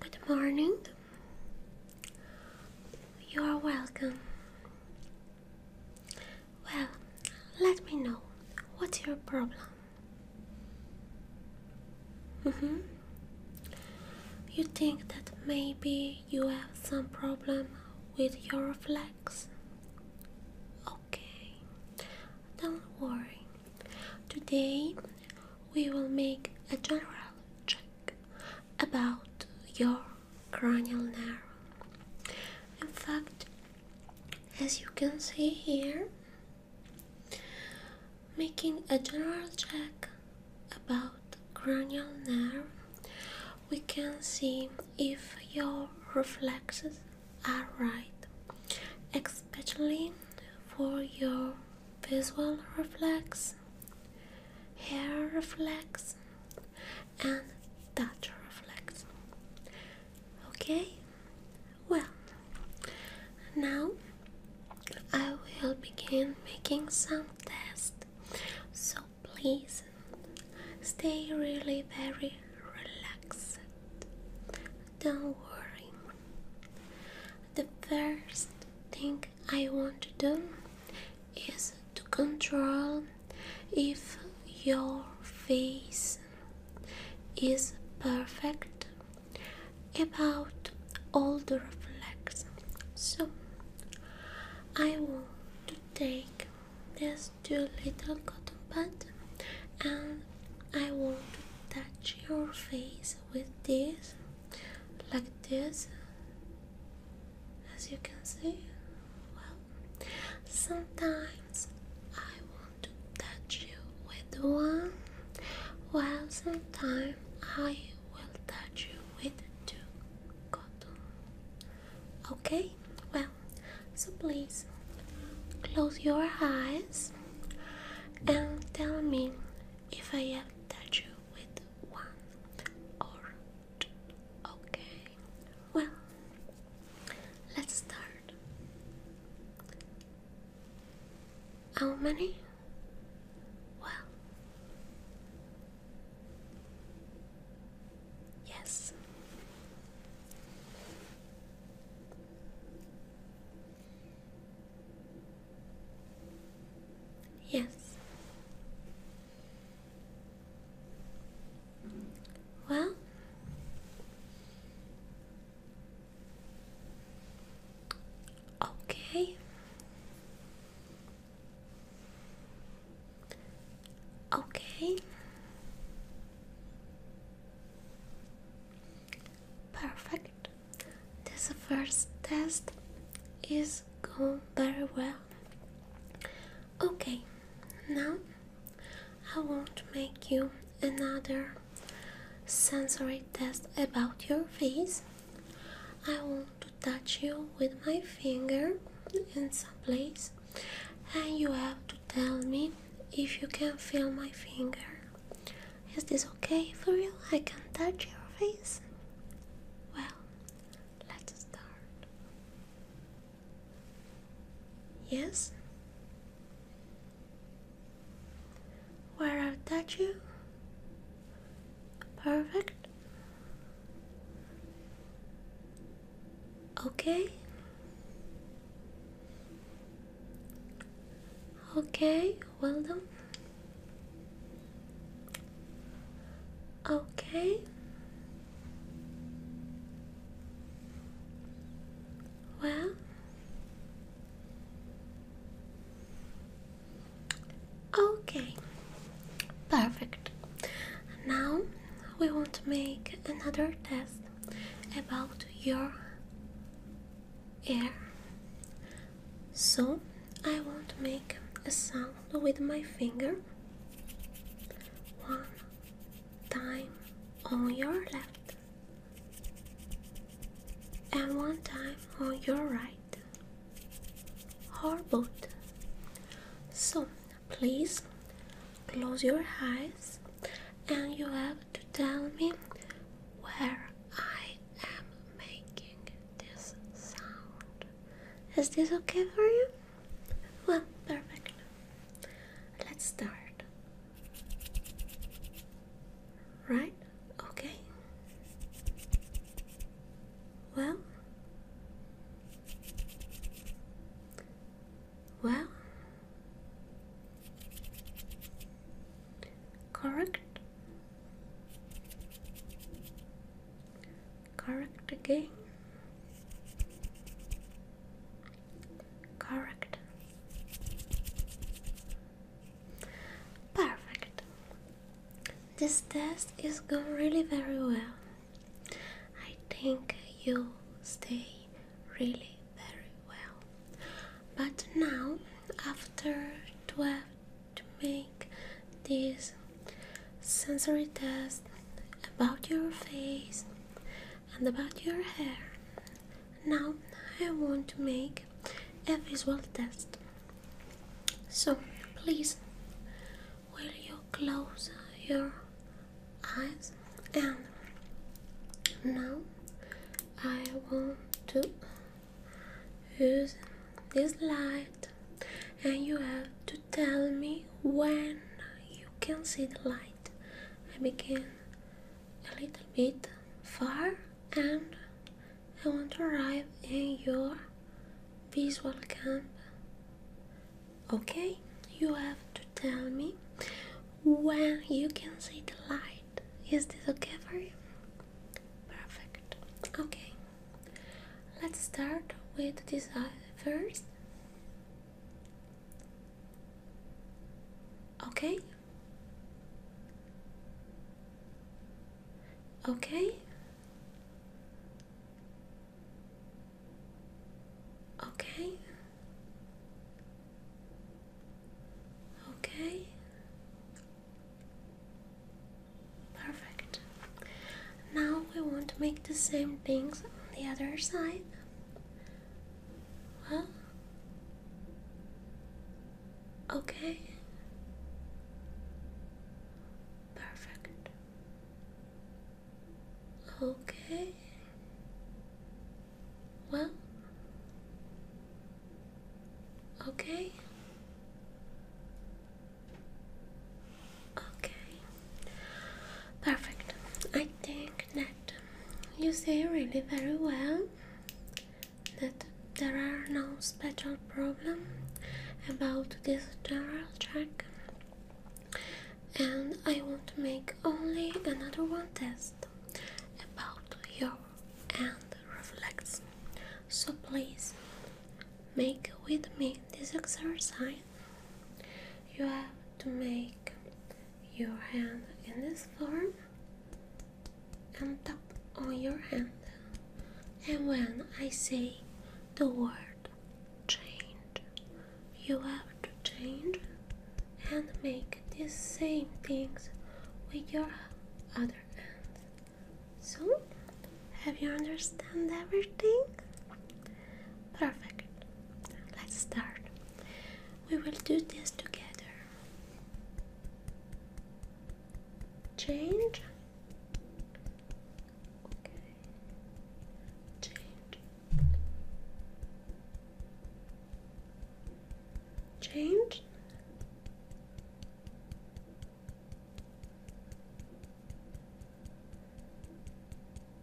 Good morning. You are welcome. Well, let me know. What's your problem? Mm hmm You think that maybe you have some problem with your reflex? Okay, don't worry. Today we will make a general check about your cranial nerve. In fact, as you can see here, making a general check about cranial nerve, we can see if your reflexes Alright, especially for your visual reflex, hair reflex, and touch reflex. Okay, well, now I will begin making some tests, so please stay really very relaxed don't worry. The first thing I want to do is to control if your face is perfect about all the reflex. So I want to take this just two little cotton pad, and I want to touch your face with this like this as you can see well sometimes I want to touch you with one while sometimes I will touch you with two cotton okay well so please close your eyes and tell me if I have touched you with one or two. Okay. Well, let's start. How many? Well, Yes. Yes. Well, okay. Okay. Perfect. This first test is going very well. Okay, now I want to make you another sensory test about your face. I want to touch you with my finger in some place, and you have to tell me if you can feel my finger. Is this okay for you? I can touch your face? Well, let's start. Yes? Where I touch you? Perfect. Okay. Okay, well done. Okay. Well. Okay. Perfect. Now we want to make another test about your ear. So I want to make a sound with my finger one time on your left and one time on your right or both. So Please close your eyes and you have to tell me where I am making this sound. Is this okay for you? Well, perfect. Let's start. Right? Okay. Well, well, correct, correct again, correct, perfect. This test is going really very well. I think you stay really very well. But now, after 12 to make this sensory test about your face and about your hair, now I want to make a visual test. So please will you close your eyes and now I want to use this light and you have to tell me when you can see the light I begin a little bit far and I want to arrive in your visual camp. Okay, you have to tell me when you can see the light. Is this okay for you? Perfect. Okay, let's start with this eye first. Okay. Okay. Okay. Okay. Perfect. Now we want to make the same things on the other side. Well, Okay. Perfect. Okay. Well. Okay. Okay. Perfect. I think that you say really very well that there are no special problems about this general check and I want to make only another one test about your hand reflex so please make with me this exercise you have to make your hand in this form and tap on your hand. And when I say the word change, you have to change and make the same things with your other hand. So, have you understand everything? Perfect. Let's start. We will do this together change change change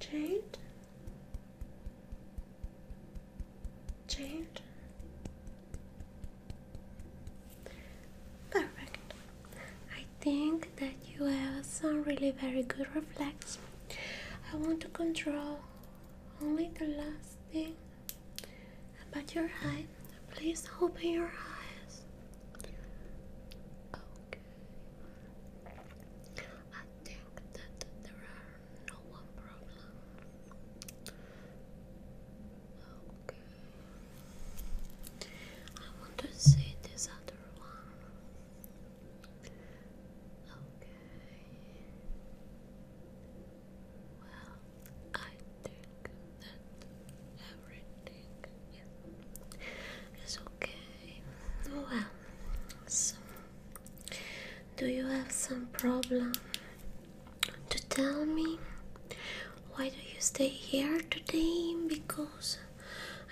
change Change. Perfect. I think that you have some really very good reflexes. I want to control only the last thing about your eyes. Please open your eyes. Okay. I think that there are no problem. Okay. I want to see this other one. Okay. Well, I think that everything is, is okay. Well, so do you have some problem to tell me? Why do you stay here today? Because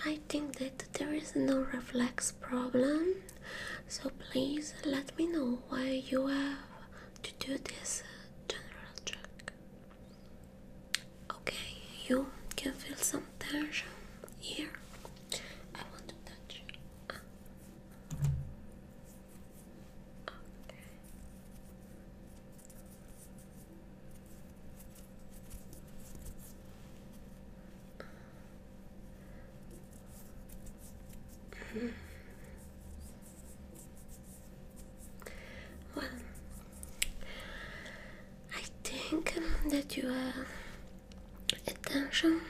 I think that there is no reflex problem. So please let me know why you have to do this general check. Okay, you can feel some tension here. I want to touch. well, I think that you are attention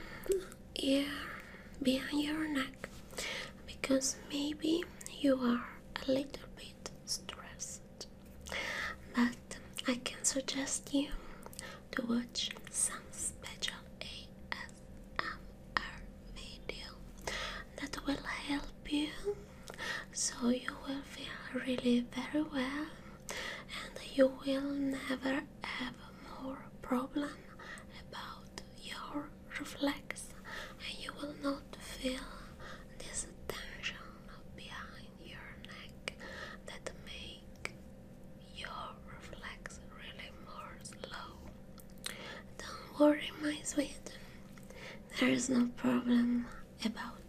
here behind your neck because maybe you are a little bit stressed. But I can suggest you to watch some special ASMR video that will help you so you will feel really very well and you will never have more problem about your reflex and you will not feel this tension behind your neck that make your reflex really more slow. Don't worry my sweet, there is no problem about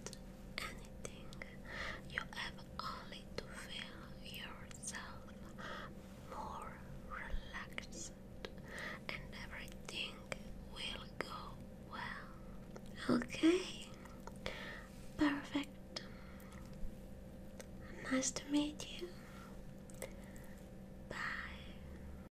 anything you ever only to feel yourself more relaxed, and everything will go well. Okay, perfect. Nice to meet you. Bye.